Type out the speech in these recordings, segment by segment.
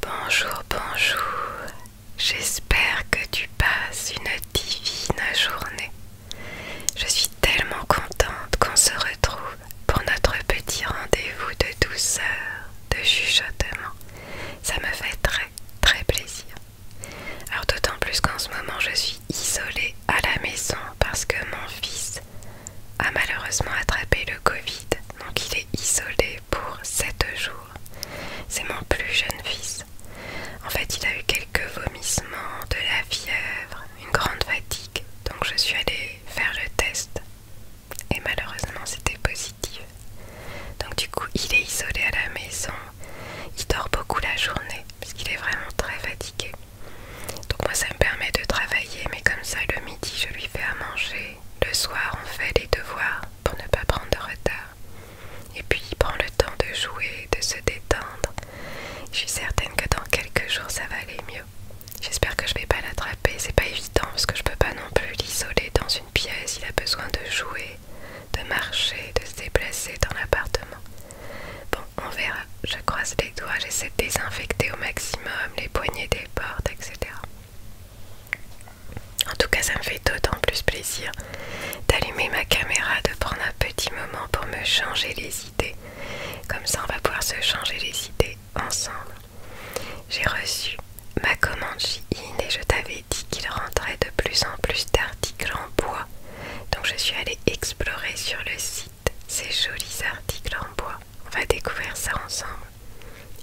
Bonjour, bonjour. J'espère que tu passes une divine journée. Je suis tellement contente qu'on se retrouve pour notre petit rendez-vous de douceur, de chuchotement. Ça me fait très très plaisir. Alors d'autant plus qu'en ce moment je suis isolée à la maison parce que mon fils a malheureusement attrapé le Covid. Donc il est isolé pour 7 jours. C'est mon plus jeune fils. En fait il a eu quelques vomissements, de la fièvre, une grande fatigue. Donc je suis allée faire le test. Et malheureusement c'était possible. Donc du coup, il est isolé à la maison, il dort beaucoup la journée parce qu'il est vraiment très fatigué. Donc moi, ça me permet de travailler, mais comme ça, le midi, je lui fais à manger. Le soir, on fait les devoirs pour ne pas prendre de retard. Et puis, il prend le temps de jouer, de se détendre. Je suis certaine que dans quelques jours, ça va aller mieux. J'espère que je vais pas l'attraper, c'est pas évident parce que je peux pas non plus l'isoler dans une pièce, il a besoin de jouer, de marcher, de se déplacer dans l'appartement. Bon, on verra, je croise les doigts, j'essaie de désinfecter au maximum les poignées des portes, etc. En tout cas, ça me fait d'autant plus plaisir d'allumer ma caméra, de prendre un petit moment pour me changer les idées. Comme ça, on va pouvoir se changer les idées ensemble. J'ai reçu ma commande chez in et je t'avais dit qu'il rentrait de plus en plus d'articles en bois. Donc je suis allée explorer sur le site ces jolis articles en bois. On va découvrir ça ensemble.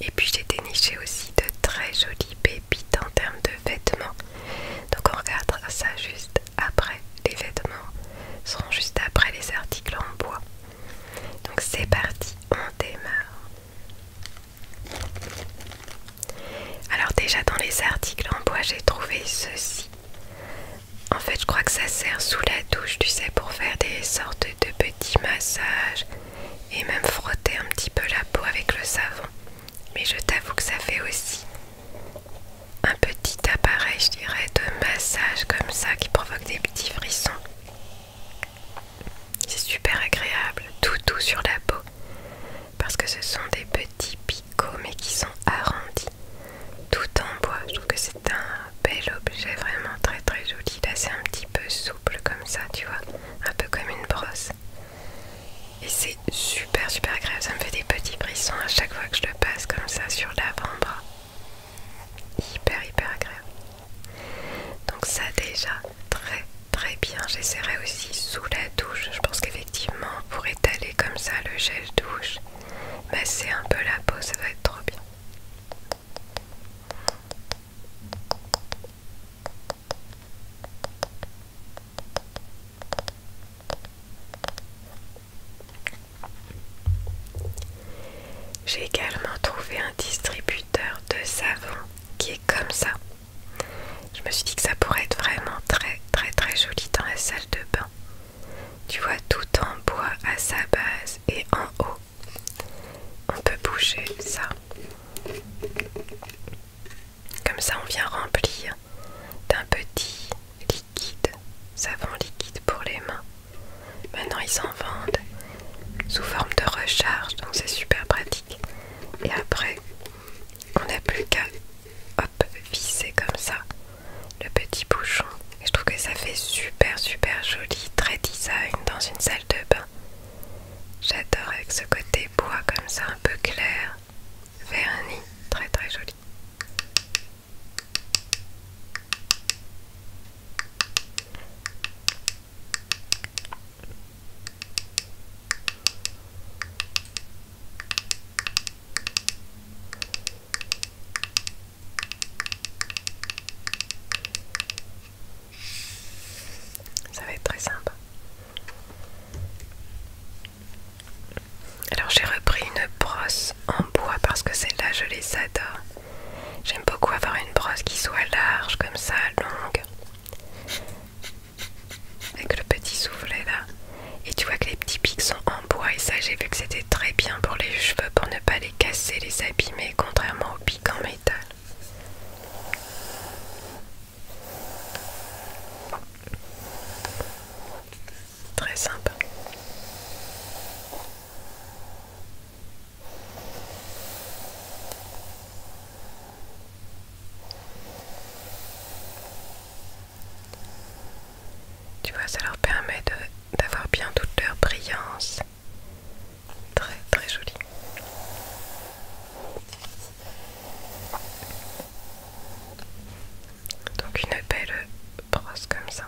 Et puis j'ai déniché aussi de très jolies pépites en termes de vêtements. Donc on regardera ça juste après. Les vêtements seront juste après les articles en bois. Donc c'est parti, on démarre. Alors déjà dans les articles en bois j'ai trouvé ceci. En fait je crois que ça sert sous la douche tu sais pour faire des sortes de petits massages et même frotter un petit peu la peau avec le savon. Mais je t'avoue que ça fait aussi un petit appareil je dirais de massage comme ça qui provoque des petits frissons. C'est super agréable, tout doux sur la peau, parce que ce sont des petits picots mais qui sont arrondis, tout en bois. Je trouve que c'est un bel objet, vraiment très très joli. Là c'est un petit peu souple comme ça, tu vois, un peu comme une brosse. Et c'est super super agréable, ça me fait des petits brissons à chaque fois que je le passe comme ça sur l'avant-bras hyper hyper agréable donc ça déjà très très bien j'essaierai aussi sous la douche je pense qu'effectivement pour étaler comme ça le gel douche masser bah, un peu la peau ça va être trop bien j'ai également trouvé un distributeur de savon qui est comme ça. Je me suis dit que ça pourrait être vraiment très très très joli dans la salle de bain. Tu vois tout en bois à sa base et en haut. On peut bouger ça. Comme ça on vient remplir d'un petit liquide, savon liquide pour les mains. Maintenant, ils s'en vendent sous forme de recharge, donc c'est super pratique. Et après, on n'a plus qu'à visser comme ça le petit bouchon. Et je trouve que ça fait super super joli, très design dans une salle de bain. J'adore avec ce côté bois comme ça, un peu clair, verni, très très joli. Ça va être très simple. Alors j'ai repris une brosse en bois parce que celle-là je les adore. J'aime beaucoup avoir une brosse qui soit large comme ça, longue. Avec le petit soufflet là. Et tu vois que les petits pics sont en bois et ça j'ai vu que c'était très bien pour les cheveux pour ne pas les casser, les abîmer, contrairement aux pics en métal. Très simple tu vois, ça leur permet d'avoir bien toute leur brillance. Très très joli. Donc une belle brosse comme ça.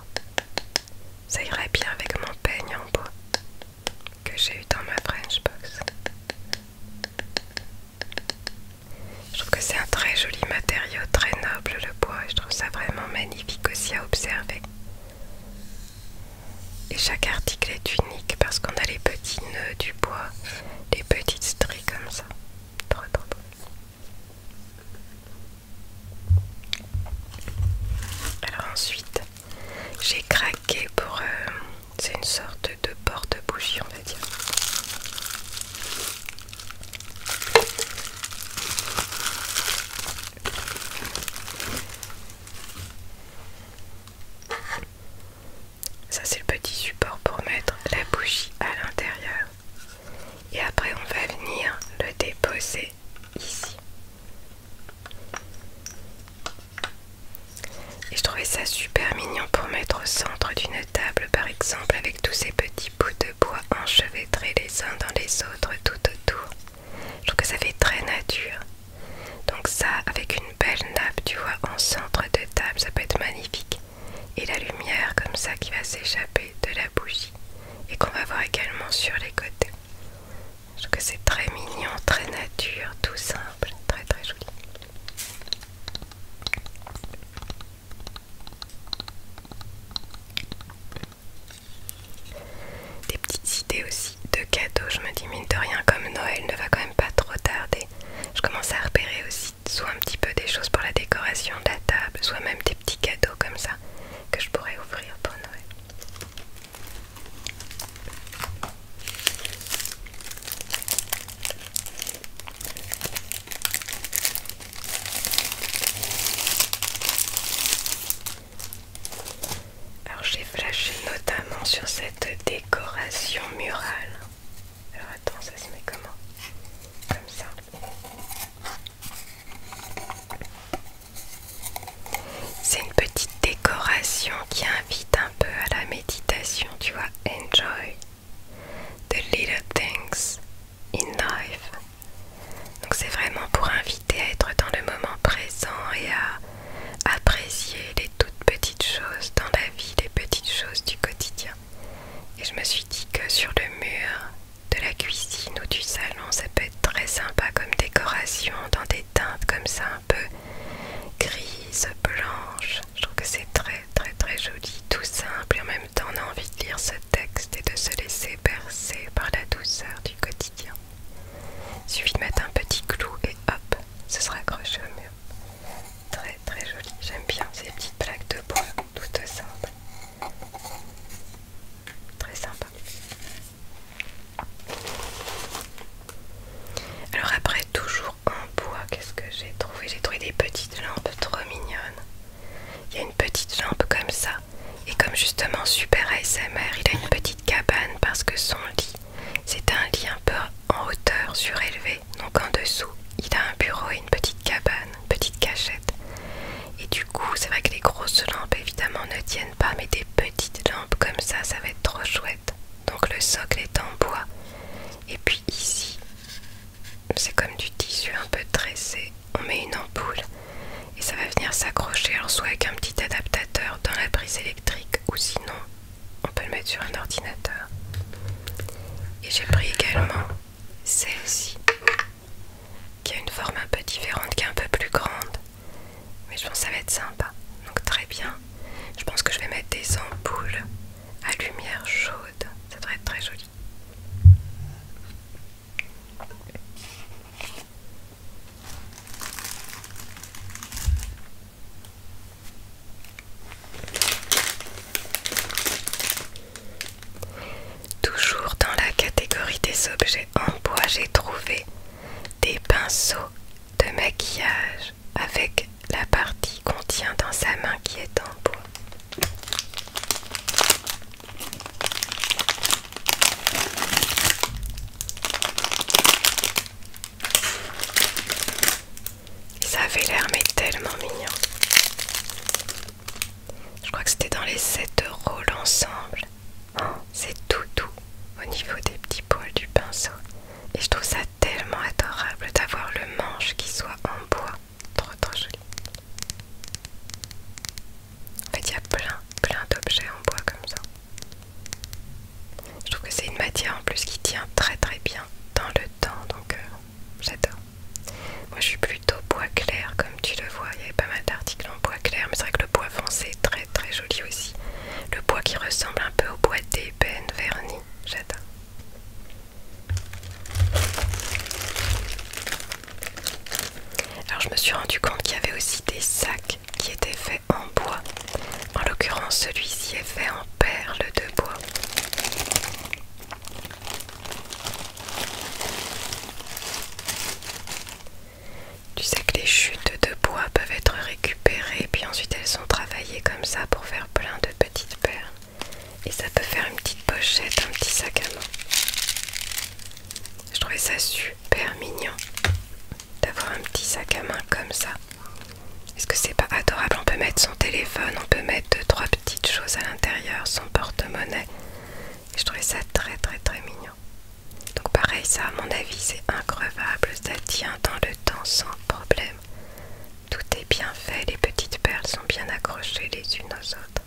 Ça irait bien avec mon peigne en bois que j'ai eu dans ma french box Je trouve que c'est un très joli matériau, très noble le bois, je trouve ça vraiment magnifique aussi à observer. Et chaque article est unique parce qu'on a les petits nœuds du bois, les petites stris comme ça. Trop trop Alors ensuite, j'ai craqué pour... Euh, c'est une sorte de porte-bougie on va dire. Ça c'est le petit support pour mettre la bougie à l'intérieur. Et après on va venir le déposer ici. Et je trouvais ça super mignon pour mettre au centre d'une table par exemple avec tous ces petits bouts de bois enchevêtrés les uns dans les autres tout autour. Je trouve que ça fait très nature. Donc ça avec une belle nappe tu vois en centre de table ça peut être magnifique. Et la lumière comme ça qui va s'échapper de la bougie et qu'on va voir également sur les côtés. Je trouve que c'est très mignon, très nature, tout simple, très très joli. Des petites idées aussi de cadeaux, je me dis mine de rien comme Noël ne va quand même pas trop tarder. Je commence à repérer aussi soit un petit peu des choses pour la décoration de la table, soit même des petits cadeaux comme ça que je pourrais ouvrir pour Noël. Alors j'ai flashé notamment sur cette décoration murale. Alors attends, ça se met comment Comme ça. C'est une petite décoration qui invite un peu à la méditation, tu vois. Enjoy the little things in life. Donc c'est vraiment pour inviter à être dans le moment présent et à apprécier les toutes petites choses dans la vie, les petites choses du quotidien. Et je me suis dit que sur le mur de la cuisine ou du salon, ça peut très sympa comme décoration dans des teintes comme ça un peu grise, blanche. Je trouve que c'est très très très joli, tout simple et en même temps on a envie de lire ce texte et de se laisser bercer par la douceur du quotidien. Il suffit de mettre un petit clou et hop, ce sera accroché au mur. Très très joli, j'aime bien ces petites plaques de bois toutes simple. Très sympa. Alors après toujours en bois, qu'est-ce que j'ai trouvé J'ai trouvé des petites lampes trop mignonnes. Il y a une petite lampe comme ça. Et comme justement Super ASMR, il a une petite cabane parce que son lit, c'est un lit un peu en hauteur, surélevé. Donc en dessous, il a un bureau et une petite cabane, petite cachette. Et du coup, c'est vrai que les grosses lampes, évidemment, ne tiennent pas mais des petites lampes comme ça, ça va être trop chouette. Donc le socle est en bois. Et puis ici, c'est comme du tissu un peu tressé. On met une ampoule et ça va venir s'accrocher, alors soit avec un petit adaptateur dans la prise électrique ou sinon on peut le mettre sur un ordinateur. Et j'ai pris également celle-ci qui a une forme un peu différente, qui est un peu plus grande. Mais je pense que ça va être sympa. Donc très bien. Je pense que je vais mettre des ampoules à lumière chaude. Ça devrait être très joli. Toujours dans la catégorie des objets en bois j'ai trouvé des pinceaux de maquillage avec la partie qu'on tient dans sa main qui est en bois. Ça avait l'air mais tellement mignon. Je crois que c'était dans les 7 euros l'ensemble c'est tout doux au niveau des petits poils du pinceau. Et je trouve ça tellement adorable d'avoir le manche qui soit en bois. Trop trop joli. En fait, il y a plein plein d'objets en bois comme ça. Je trouve que c'est une matière en plus qui tient très très bien dans le temps, donc euh, j'adore. Moi, je suis plutôt bois clair, comme comme tu le vois, il y avait pas mal d'articles en bois clair, mais c'est vrai que le bois foncé est très très joli aussi. Le bois qui ressemble un peu au bois d'ébène verni, j'adore. Alors je me suis rendu compte qu'il y avait aussi des sacs qui étaient faits en bois. En l'occurrence celui-ci est fait en perles de bois. Tu sais que les chutes de bois peuvent être récupérées, puis ensuite elles sont travaillées comme ça pour faire plein de petites perles. Et ça peut faire une petite pochette, un petit sac à main. Je trouvais ça super mignon d'avoir un petit sac à main comme ça. Est-ce que c'est pas adorable On peut mettre son téléphone, on peut mettre trois petites choses à l'intérieur, son porte-monnaie je trouvais ça très très très mignon. Donc pareil, ça à mon avis c'est increvable, ça tient dans le temps sans problème. Tout est bien fait, les petites perles sont bien accrochées les unes aux autres.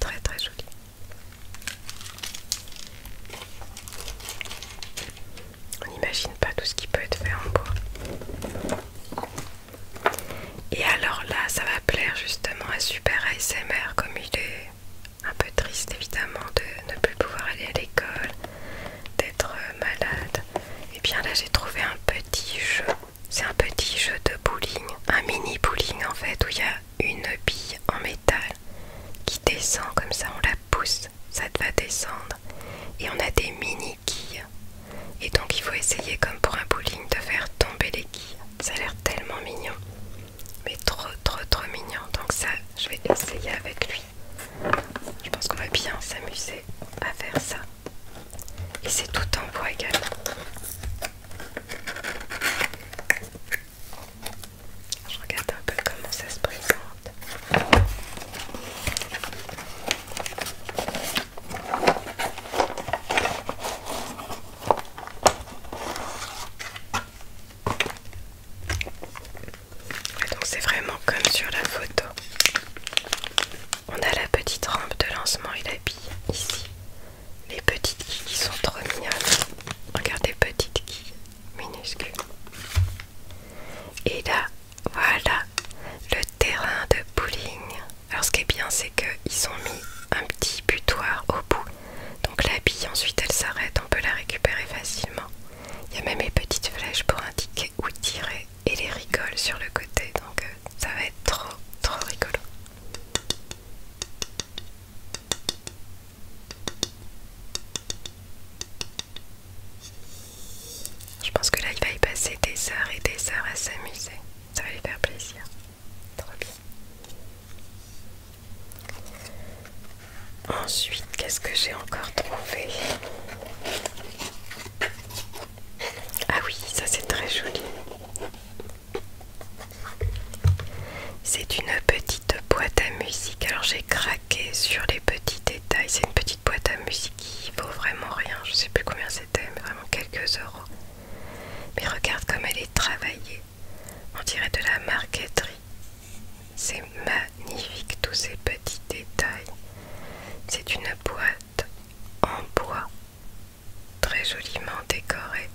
Très très joli. On n'imagine pas tout ce qui peut être fait en bois. Et alors là, ça va plaire justement à Super ASMR comme il est un peu triste évidemment de ne plus pouvoir aller à l'école, d'être euh, malade. Et bien là j'ai trouvé un petit jeu. C'est un petit jeu de bowling, un mini bowling en fait où il y a une bille en métal qui descend comme ça, on la pousse, ça va descendre et on a des mini quilles. Et donc il faut essayer comme pour un bowling de faire tomber les quilles. Ça a l'air tellement mignon mais trop trop trop mignon donc ça je vais essayer avec lui je pense qu'on va bien s'amuser à faire ça et c'est tout en bois également je regarde un peu comment ça se présente donc c'est vraiment comme sur la photo. On a la petite rampe de lancement et la bille ici. Les petites guilles qui sont trop mignonnes. Regardez, petites qui minuscules. Et là, voilà le terrain de bowling. Alors ce qui est bien, c'est qu'ils ont mis un petit butoir au bout donc la bille ensuite elle s'arrête, on peut la récupérer facilement. Il y a même les petites flèches pour indiquer où tirer et les rigoles sur le côté. Donc euh, ça va être trop trop rigolo. Je pense que là il va y passer des heures et des heures à s'amuser. Ça va lui faire plaisir. Trop Ensuite, qu'est-ce que j'ai encore trouvé Ah oui, ça c'est très joli. C'est une petite boîte à musique. Alors j'ai craqué sur les petits détails. C'est une petite boîte à musique qui vaut vraiment rien. Je ne sais plus combien c'était, mais vraiment quelques euros. Mais regarde comme elle est travaillée. On dirait de la marqueterie. C'est magnifique tous ces petits détails. C'est une boîte en bois, très joliment décorée,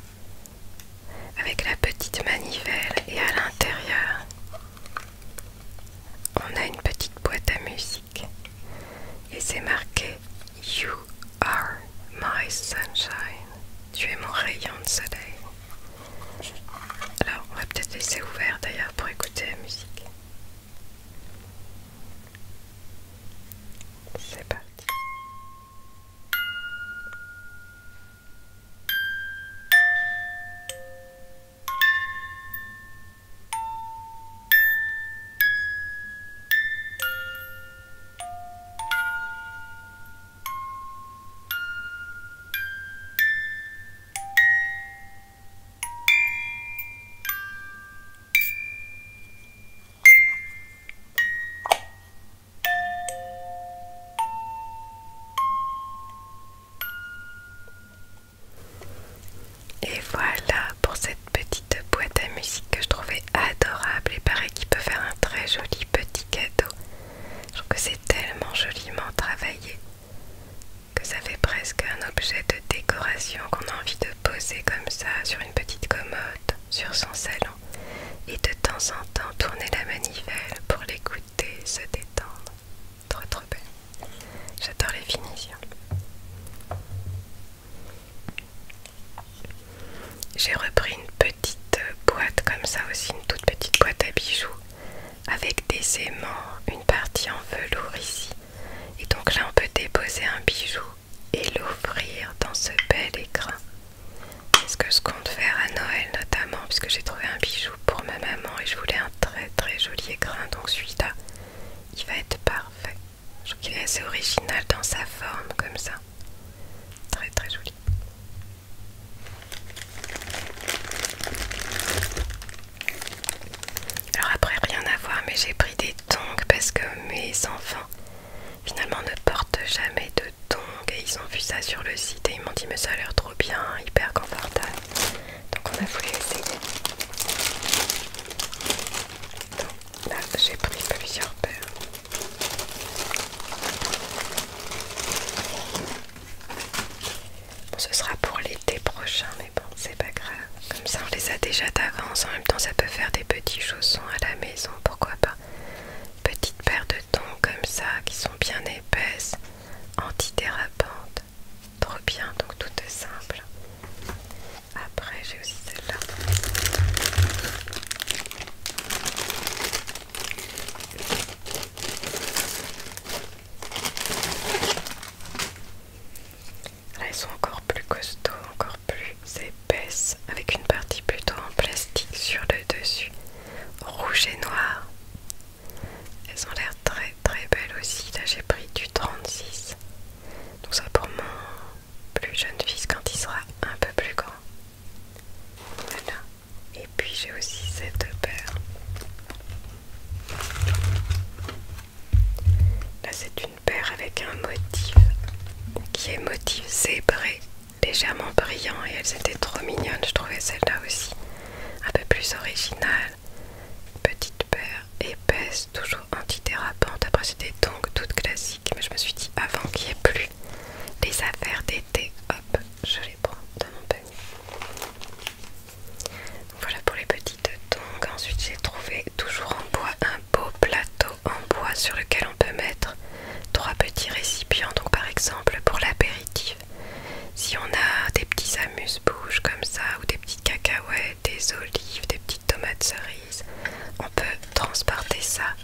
avec la petite manivelle et à l'intérieur, on a une petite boîte à musique et c'est marqué You are my sunshine tu es mon rayon de soleil. Alors, on va peut-être laisser ouvert d'ailleurs pour écouter la musique. C'est parti. Et voilà pour cette petite boîte à musique que je trouvais adorable et pareil qui peut faire un très joli petit cadeau. Je trouve que c'est tellement joliment travaillé que ça fait presque un objet de décoration qu'on a envie de poser comme ça sur une petite commode, sur son salon, et de temps en temps tourner la manivelle pour l'écouter, se détendre. Trop trop belle. J'adore les finitions. J'ai repris une petite petite euh, boîte comme ça aussi, une toute petite boîte à bijoux avec des aimants, une partie en velours ici. Et donc là on peut déposer un bijou et l'ouvrir dans ce bel écrin. C'est ce que je compte faire à Noël notamment puisque j'ai trouvé un bijou pour ma maman et je voulais un très très joli écrin. Donc celui-là, il va être parfait. Je trouve qu'il est assez original dans sa forme comme ça. Très très joli. Alors après rien à voir mais j'ai pris des tongs parce que mes enfants finalement ne portent jamais de tongs et ils ont vu ça sur le site et ils m'ont dit mais ça a l'air trop bien, hyper confortable. Donc on a voulu essayer. Donc là j'ai pris plusieurs paires. Bon, ce sera pour l'été prochain, mais bon, c'est pas grave. Comme ça, on les a déjà d'avance. En même temps, ça peut faire des petits chaussons à la maison, pourquoi pas. Petite paire de tons comme ça, qui sont bien épaisses, antidérapantes. Trop bien, donc tout simple. Après, j'ai aussi celle-là. Là, elles sont encore plus costauds, encore plus épaisses, avec une partie plutôt en plastique sur le dessus, rouge et noir. Elles ont l'air très très belles aussi. Là, j'ai pris du 36. Donc ça pour moi, plus jeune fils quand il sera un peu plus grand. Voilà. Et puis j'ai aussi cette paire. Là c'est une paire avec un motif qui est motif zébré, légèrement brillant et elles étaient trop mignonnes, je trouvais celle-là aussi un peu plus originale. Petite paire épaisse, toujours antidérapante. Après c'était donc toute classique mais je me suis dit avant qu'il n'y ait plus les affaires d'été, hop, je les prends dans mon panier. Voilà pour les petites tongs. Ensuite, j'ai trouvé toujours en bois un beau plateau en bois sur lequel on peut mettre trois petits récipients. Donc, par exemple, pour l'apéritif, si on a des petits amuse-bouches comme ça, ou des petites cacahuètes, des olives, des petites tomates cerises, on peut transporter ça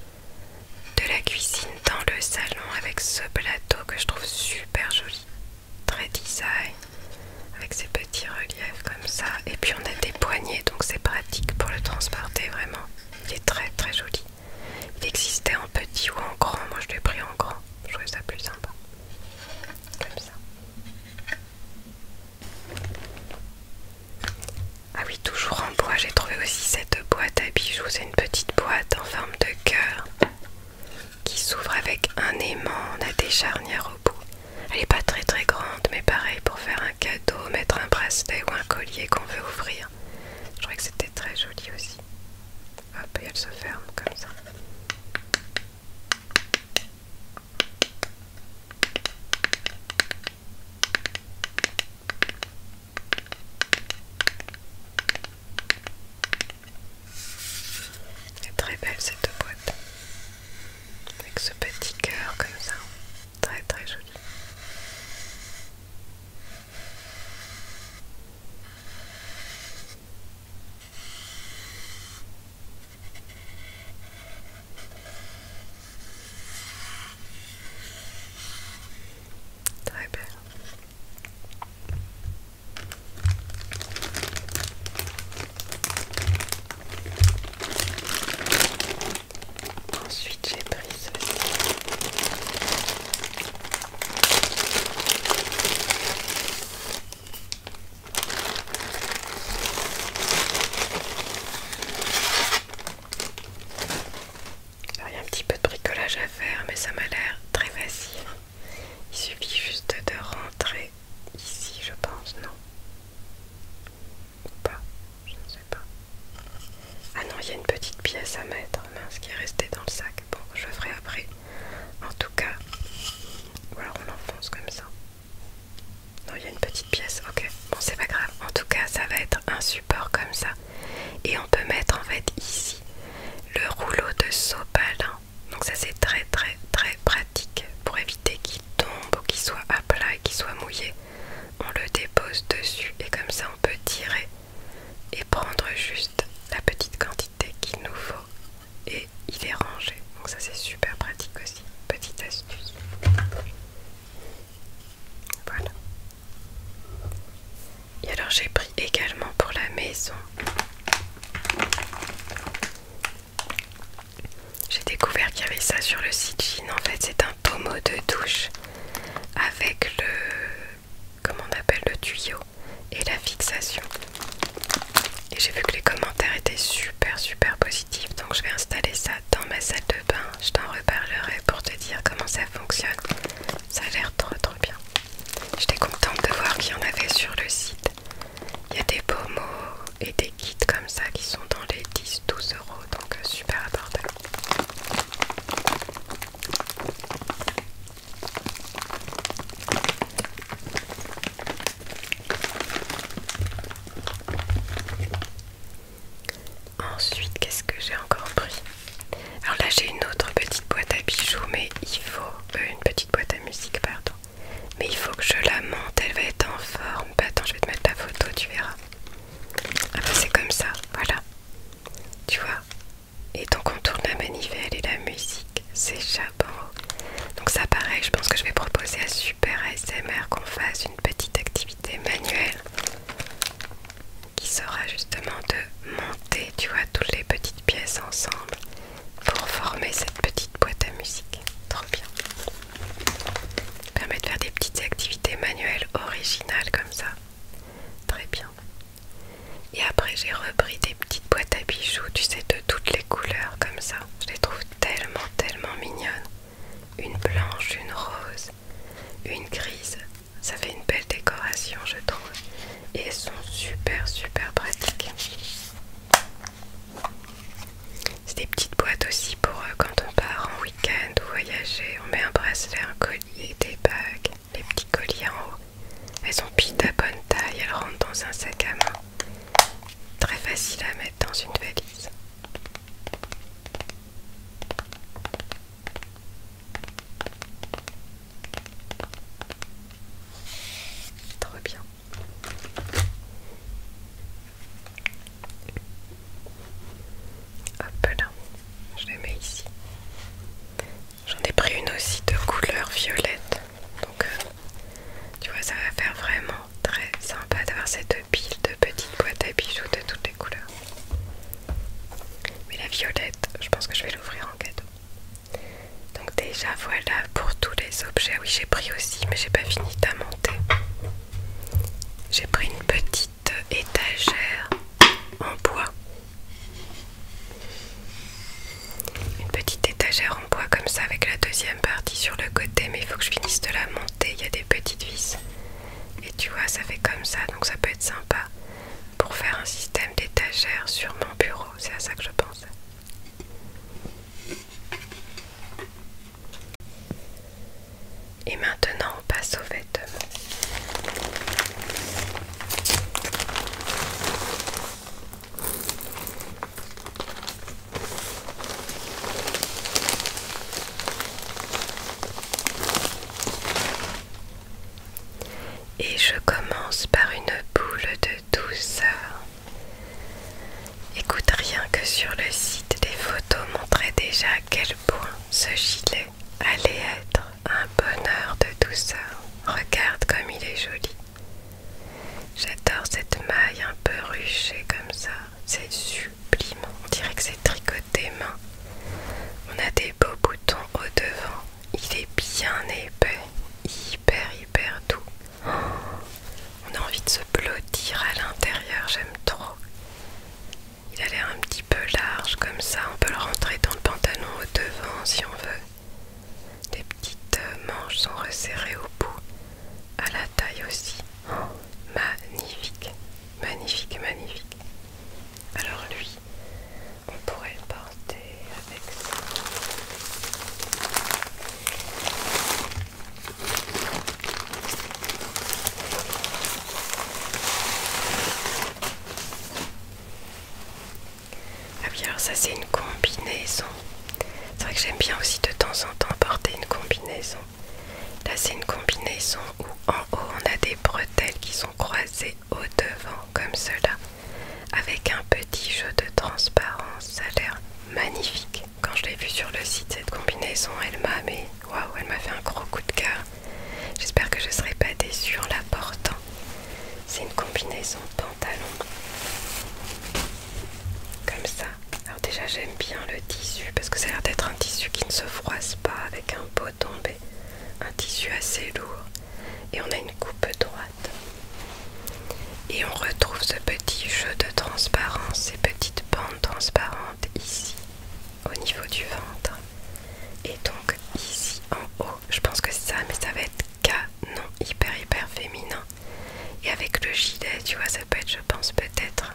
de la cuisine dans le salon avec ce plateau que je trouve super joli, très design, avec ces petits reliefs comme ça. Et puis on a des poignées, donc c'est pratique pour le transporter vraiment. Il est très très joli. Il existait en petit ou en grand, moi je l'ai pris en grand, je trouvais ça plus sympa. Comme ça. Ah oui, toujours en bois, j'ai trouvé aussi cette boîte à bijoux. C'est une petite boîte en forme de cœur qui s'ouvre avec un aimant. On a des charnières au bout. Elle n'est pas très très grande, mais pareil pour faire un cadeau, mettre un bracelet ou un collier qu'on veut ouvrir. Je trouvais que c'était très joli aussi. Hop, et elle se ferme comme ça. Elle est très belle cette boîte avec ce petit cœur comme ça, très très joli. Très belle. Ensuite, j'ai pris ceci. Alors, il y a un petit peu de bricolage à faire, mais ça m'a l'air très facile. Il suffit juste de rentrer ici, je pense, non Ou pas Je ne sais pas. Ah non, il y a une petite pièce à mettre, mince, qui est restée dans le sac. Bon, je le ferai après. En tout cas, ou alors on enfonce comme ça. Non, il y a une petite pièce, ok. Bon, c'est pas grave. En tout cas, ça va être un support comme ça et on peut mettre en fait ici le rouleau de sopalin. Donc ça c'est très très très pratique pour éviter qu'il tombe ou qu'il soit à plat et qu'il soit mouillé. On le dépose dessus et comme ça on peut tirer et prendre juste la petite quantité qu'il nous faut et il est rangé. Donc ça c'est super pratique aussi. Petite astuce. Voilà. Et alors j'ai pris également pour la maison. J'ai découvert qu'il y avait ça sur le site jean En fait, c'est un pommeau de douche avec le comment on appelle le tuyau et la fixation. Et j'ai vu que les commentaires étaient super super positifs, donc je vais installer ça dans ma salle de bain je t'en reparlerai pour te dire comment ça fonctionne. Ça a l'air trop trop bien. J'étais contente de voir qu'il y en avait sur le site. Il y a des beaux mots et des kits comme ça qui sont dans les 10-12 euros, donc euh, super abordable. Ensuite, qu'est-ce que j'ai encore pris Alors là, j'ai une autre petite boîte à bijoux, mais il faut... Euh, une petite boîte à musique, pardon. Mais il faut que je la monte, elle va être en forme. Bah, attends, je vais te mettre la photo, tu verras. Ah bah c'est comme ça, voilà. Tu vois Et donc on tourne la manivelle et la musique s'échappe en Donc ça pareil, je pense que je vais proposer à Super ASMR qu'on fasse une petite activité manuelle qui sera justement de monter, tu vois, toutes les petites pièces ensemble pour former cette petite boîte à musique. Trop bien. Permet de faire des petites activités manuelles originales comme ça. Très bien. Et après j'ai repris des petites boîtes à bijoux, tu sais, de toutes les couleurs comme ça. Je les trouve tellement, tellement mignonnes. Une blanche, une rose, une grise. Ça fait une belle décoration, je trouve. Et elles sont super, super pratiques. C'est des petites boîtes aussi pour eux quand on part en week-end ou voyager. On met un bracelet, un collier, des bagues, les petits colliers en haut. Elles sont pites à bonne taille, elles rentrent dans un sac à main. Très facile à mettre dans une valise. Trop bien. Hop là, je les mets ici. J'en ai pris une aussi de couleur violette. Donc euh, tu vois, ça va faire vraiment très sympa d'avoir cette pile de petites boîtes à bijoux de toutes les couleurs. Mais la violette, je pense que je vais l'ouvrir en cadeau. Donc déjà voilà pour tous les objets. Oui j'ai pris aussi mais j'ai pas fini de la monter. J'ai pris une petite étagère en bois. Une petite étagère en bois comme ça avec la deuxième partie sur le côté mais il faut que je finisse de la monter. Il y a des petites vis. Et tu vois, ça fait comme ça, donc ça peut être sympa pour faire un système d'étagères sur mon bureau. C'est à ça que je pense. Et maintenant, on passe aux vêtements. Et je commence par une boule de douceur. Écoute rien que sur le site des photos montraient déjà à quel point ce gilet allait être un bonheur de douceur. Regarde comme il est joli. J'adore cette maille un peu ruchée comme ça. C'est super. On dirait que c'est tricoté main. On a des beaux boutons au devant. Il est bien épais, hyper hyper doux. Oh, on a envie de se blottir à l'intérieur, j'aime trop. Il a l'air un petit peu large comme ça, on peut le rentrer dans le pantalon au devant si on veut. Des petites euh, manches sont resserrées au bout, à la taille aussi. Oh, magnifique. Magnifique, magnifique. Alors lui, on pourrait porter avec ça. Ah oui, alors ça c'est une combinaison. C'est vrai que j'aime bien aussi de temps en temps porter une combinaison. Là c'est une combinaison où en haut on a des bretelles qui sont croisées au devant comme cela avec un petit jeu de transparence. Ça a l'air magnifique. Quand je l'ai vu sur le site cette combinaison elle m'a mais waouh elle m'a fait un gros coup de cœur. J'espère que je ne serai pas déçue en la portant. C'est une combinaison pantalon comme ça alors déjà j'aime bien le tissu parce que ça a l'air d'être un tissu qui ne se froisse pas avec un pot tombé. Un tissu assez lourd. Et on a une coupe droite. Et on retrouve ce petit jeu de transparence, ces petites bandes transparentes ici au niveau du ventre. Et donc ici en haut, je pense que c'est ça, mais ça va être canon, hyper hyper féminin. Et avec le gilet, tu vois, ça peut être, je pense, peut-être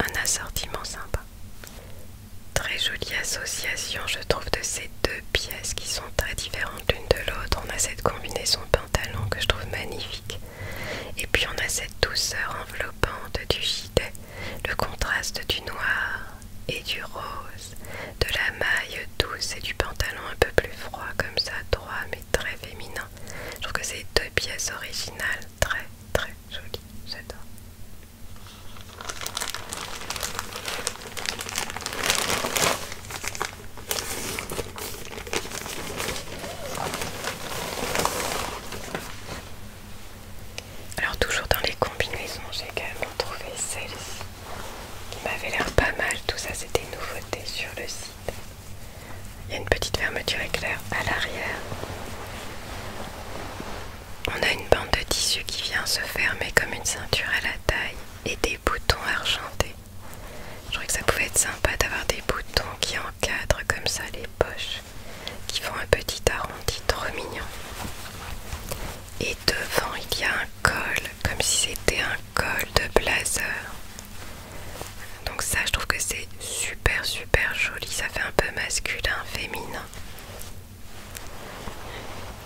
un assortiment sympa. Très jolie association, je trouve, de ces deux pièces qui sont très différentes l'une de l'autre. On a cette combinaison pantalon que je trouve magnifique. Et puis on a cette douceur enveloppante du gilet, le contraste du noir et du rose, de la maille douce et du pantalon un peu plus froid comme ça, droit mais très féminin. Je trouve que c'est deux pièces originales très très joli, j'adore. Alors toujours dans les combinaisons, j'ai quand même trouvé celle-ci qui m'avait l'air pas mal. Tout ça, c'était nouveauté sur le site. Il y a une petite fermeture éclair à l'arrière. On a une bande de tissu qui vient se fermer comme une ceinture à la taille et des boutons argentés. Je trouvais que ça pouvait être sympa d'avoir des boutons qui encadrent comme ça les poches, qui font un petit arrondi trop mignon. Et devant, il y a un col, comme si c'était un col de blazer. Donc ça je trouve que c'est super super joli, ça fait un peu masculin, féminin.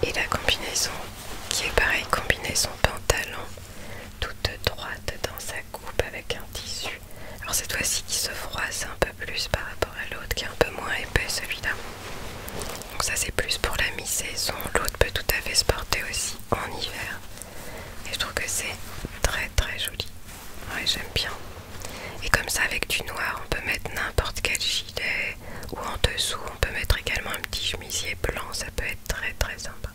Et la combinaison qui est pareil, combinaison pantalon, toute droite dans sa coupe avec un tissu. Alors cette fois-ci qui se froisse un peu plus par rapport à l'autre qui est un peu moins épais celui-là. Donc ça c'est plus pour la mi-saison, l'autre peut tout à fait se porter aussi en hiver. Et je trouve que c'est très très joli. Ouais j'aime bien. Et comme ça avec du noir on peut mettre n'importe quel gilet ou en dessous on peut mettre également un petit chemisier blanc, ça peut être très très sympa.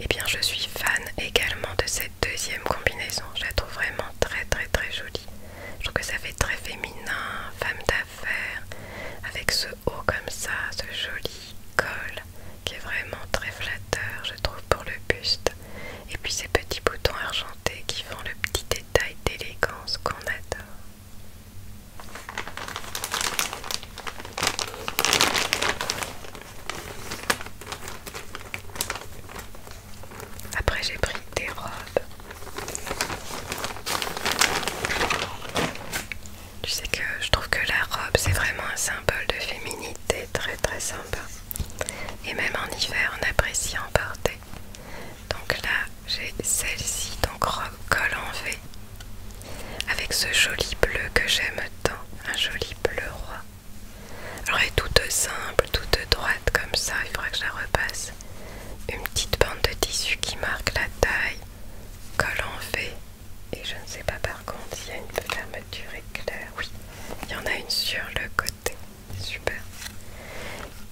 Et eh bien je suis fan également de cette deuxième combinaison, je la trouve vraiment très très très jolie. Je trouve que ça fait très féminin, femme d'affaires, avec ce haut comme ça, ce joli col qui est vraiment très flatteur je trouve pour le buste et puis ces petits boutons argentés qui font le petit détail d'élégance qu'on adore. Après j'ai pris des robes. Tu sais que je trouve que la robe c'est vraiment un symbole de féminité très très sympa et même en hiver on apprécie en porter. Donc là j'ai celle-ci, donc col en V, avec ce joli bleu que j'aime tant, un joli bleu roi. Alors elle est toute simple, toute droite comme ça, il faudra que je la repasse. Une petite bande de tissu qui marque la taille, col en V, et je ne sais pas par contre s'il y a une fermeture éclair, il y en a une sur le côté. Super.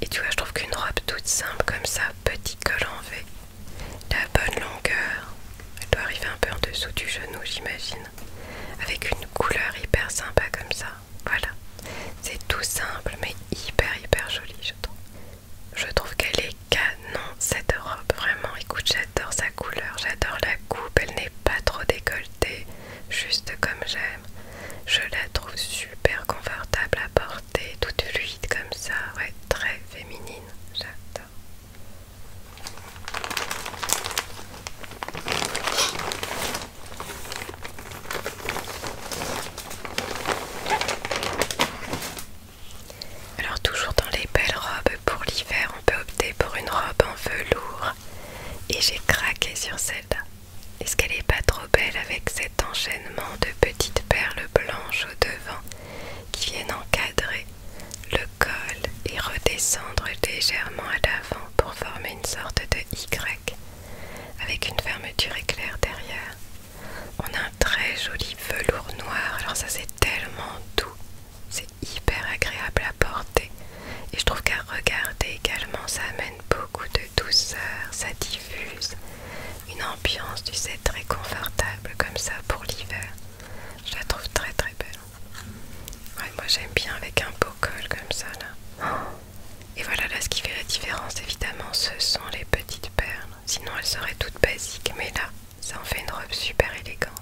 Et tu vois, je trouve qu'une robe toute simple comme ça, petit col en V, la bonne longueur, elle doit arriver un peu en dessous du genou, j'imagine, avec une couleur hyper sympa comme ça. Voilà, c'est tout simple mais hyper hyper joli, je trouve. Je trouve qu'elle est canon cette robe, vraiment. Écoute, j'adore sa couleur, j'adore la coupe, elle n'est pas trop décolletée juste comme j'aime. Je la trouve super confortable à porter, toute fluide comme ça, ouais, très féminine, j'adore. Alors toujours dans les belles robes pour l'hiver, on peut opter pour une robe en velours et j'ai craqué sur celle-là. Est-ce qu'elle n'est pas trop belle avec cet enchaînement de petites perles blanches au devant qui viennent encadrer le col et redescendre légèrement à l'avant pour former une sorte de Y avec une fermeture éclair derrière. On a un très joli velours noir, alors ça c'est tellement doux, c'est hyper agréable à porter et je trouve qu'à regarder également ça amène beaucoup de douceur, ça diffuse une ambiance tu sais très confortable comme ça pour l'hiver. Je la trouve très très belle. moi j'aime bien avec un beau col comme ça là. Et voilà là ce qui fait la différence évidemment ce sont les petites perles. Sinon elles seraient toutes basiques mais là ça en fait une robe super élégante.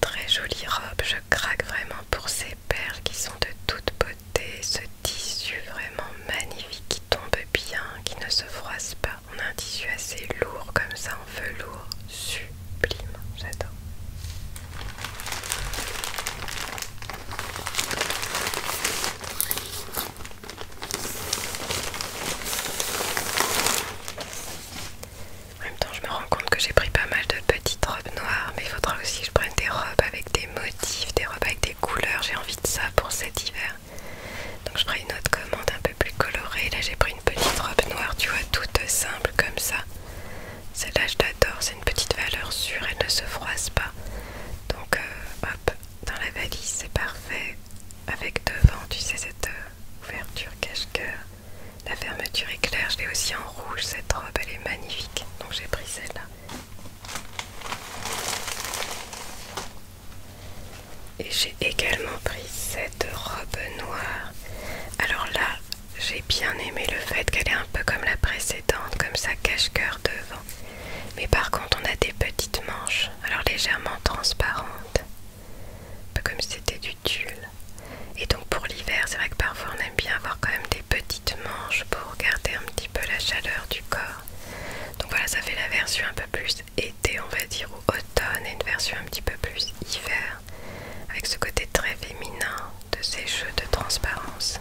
Très jolie robe, je craque vraiment pour ces perles qui sont de toute beauté, ce tissu vraiment magnifique qui tombe bien, qui ne se froisse pas. On a un tissu assez lourd comme ça en velours, sublime, j'adore. En même temps, je me rends compte que j'ai pris pas mal de petites robes noires, mais il faudra aussi que je prenne des robes avec des motifs, des robes avec des couleurs. J'ai envie de ça pour cet hiver. Donc je prends une autre commande un peu plus colorée. Là, j'ai pris une petite robe noire, tu vois, toute simple comme ça. Celle-là, je l'adore. C'est une petite valeur sûre. Elle ne se froisse pas. Donc, euh, hop, dans la valise, c'est parfait. Avec devant, tu sais, cette euh, ouverture cache coeur la fermeture est claire, je l'ai aussi en rouge, cette robe elle est magnifique, donc j'ai pris celle-là. Et j'ai également pris cette robe noire. Alors là, j'ai bien aimé le fait qu'elle est un peu comme la précédente, comme ça cache-cœur devant. Mais par contre, on a des petites manches, alors légèrement transparentes. Un peu comme si c'était du et donc pour l'hiver, c'est vrai que parfois on aime bien avoir quand même des petites manches pour garder un petit peu la chaleur du corps. Donc voilà, ça fait la version un peu plus été, on va dire, ou automne, et une version un petit peu plus hiver, avec ce côté très féminin de ces jeux de transparence.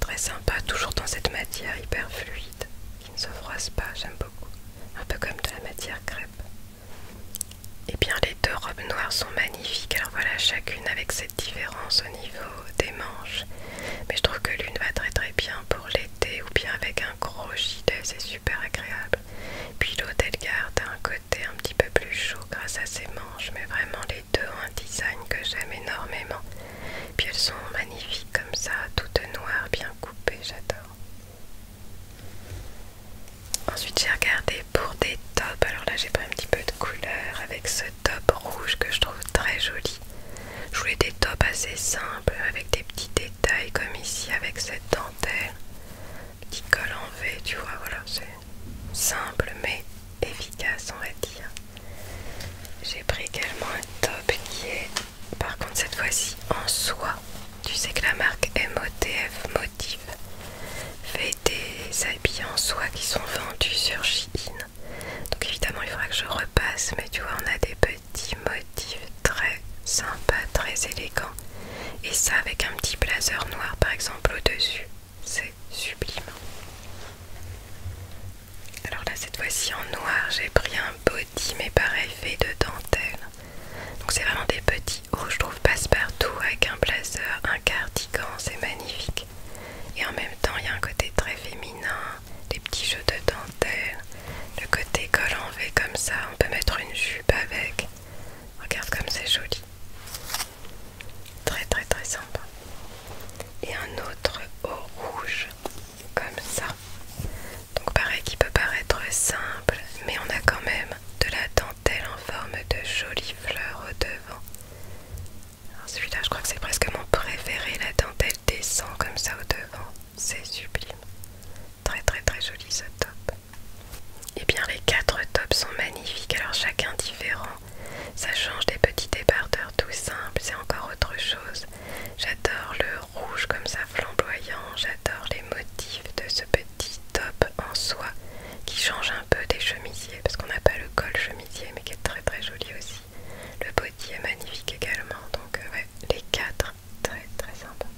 Très sympa, toujours dans cette matière hyper fluide, qui ne se froisse pas, j'aime beaucoup. Un peu comme de la matière crêpe. Et eh bien les deux robes noires sont magnifiques. Alors voilà chacune avec cette différence au niveau des manches. Mais je trouve que l'une va très très bien pour l'été ou bien avec un gros gilet, c'est super agréable. Puis l'autre elle garde un côté un petit peu plus chaud grâce à ses manches. Mais vraiment les deux ont un design que j'aime énormément. Puis elles sont magnifiques comme ça, toutes noires, bien coupées, j'adore. Ensuite j'ai regardé pour des tops, alors là j'ai pris un petit peu de couleur avec ce top rouge que je trouve très joli. Je voulais des tops assez simples avec des petits détails comme ici avec cette dentelle, qui colle en V, tu vois, voilà, c'est simple mais efficace on va dire. J'ai pris également un top qui est par contre cette fois-ci en soie. Tu sais que la marque MOTF Motif fait des habits en soie qui sont vendus sur Shein. Donc évidemment il faudra que je repasse, mais tu vois on a des petits motifs très sympas, très élégants. Et ça avec un petit blazer noir par exemple au-dessus, c'est sublime. Alors là cette fois-ci en noir j'ai pris un body mais pareil fait de dentelle. Donc c'est vraiment des petits je trouve passe-partout avec un blazer, un cardigan, c'est magnifique. Et en même temps, il y a un côté très féminin, des petits jeux de dentelle, le côté col en V comme ça, on peut mettre une jupe avec. Regarde comme c'est joli. Très très très sympa. Et un autre haut rouge, comme ça. Donc pareil qui peut paraître simple, mais on a quand même de la dentelle en forme de jolie fleur au devant. Celui-là, je crois que c'est presque mon préféré. La dentelle descend comme ça au devant. C'est sublime. Très très très joli ce top. Et eh bien les quatre tops sont magnifiques. Alors chacun différent. Ça change des petits débardeurs tout simples. C'est encore autre chose. J'adore le rouge comme ça flamboyant. J'adore les motifs de ce petit petit top en soie qui change un peu des chemisiers parce qu'on n'a pas le col chemisier mais qui est très très joli aussi. Le body est magnifique également donc euh, ouais, les quatre très très sympas.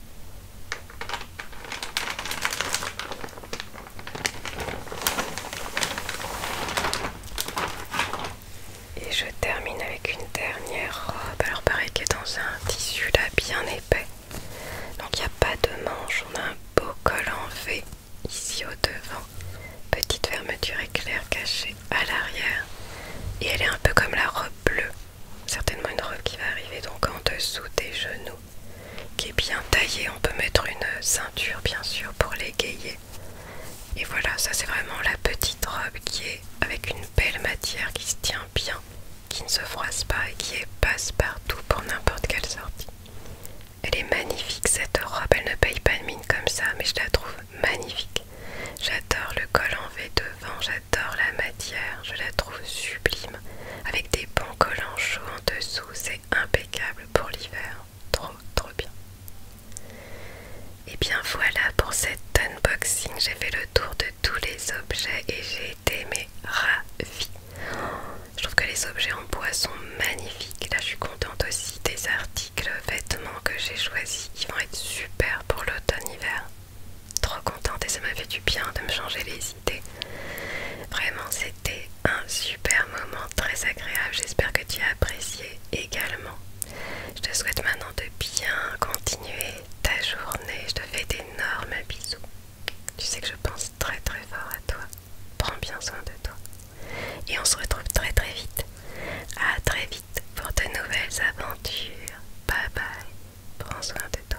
Et je termine avec une dernière robe, alors pareil qui est dans un tissu là bien épais, donc il n'y a pas de manche, on a un beau col en V ici au devant. Petite fermeture éclair cachée à l'arrière. Et elle est un peu comme la robe bleue. Certainement une robe qui va arriver donc en dessous des genoux. Qui est bien taillée. On peut mettre une ceinture bien sûr pour l'égayer. Et voilà, ça c'est vraiment la petite robe qui est avec une belle matière qui se tient bien qui ne se froisse pas et qui est passe-partout pour n'importe quelle sortie. Elle est magnifique cette robe, elle ne paye pas de mine comme ça, mais je la trouve magnifique. J'adore le col en V devant, j'adore la matière, je la trouve sublime. Avec des bons collants chauds en dessous, c'est impeccable pour l'hiver. Trop, trop bien. Et bien voilà pour cet unboxing, j'ai fait le tour de tous les objets et j'ai été Je trouve que les objets en bois sont magnifiques. Là, je suis contente aussi des articles vêtements que j'ai choisis. qui vont être super pour l'automne-hiver. Trop contente et ça m'a fait du bien de me changer les idées. Vraiment, c'était un super moment très agréable. J'espère que tu as apprécié également. Je te souhaite maintenant de bien continuer ta journée. Je te fais d'énormes bisous. Tu sais que je pense très très fort à toi. Prends bien soin de toi. Et on se retrouve très très vite. A très vite pour de nouvelles aventures. Bye bye. Prends soin de toi.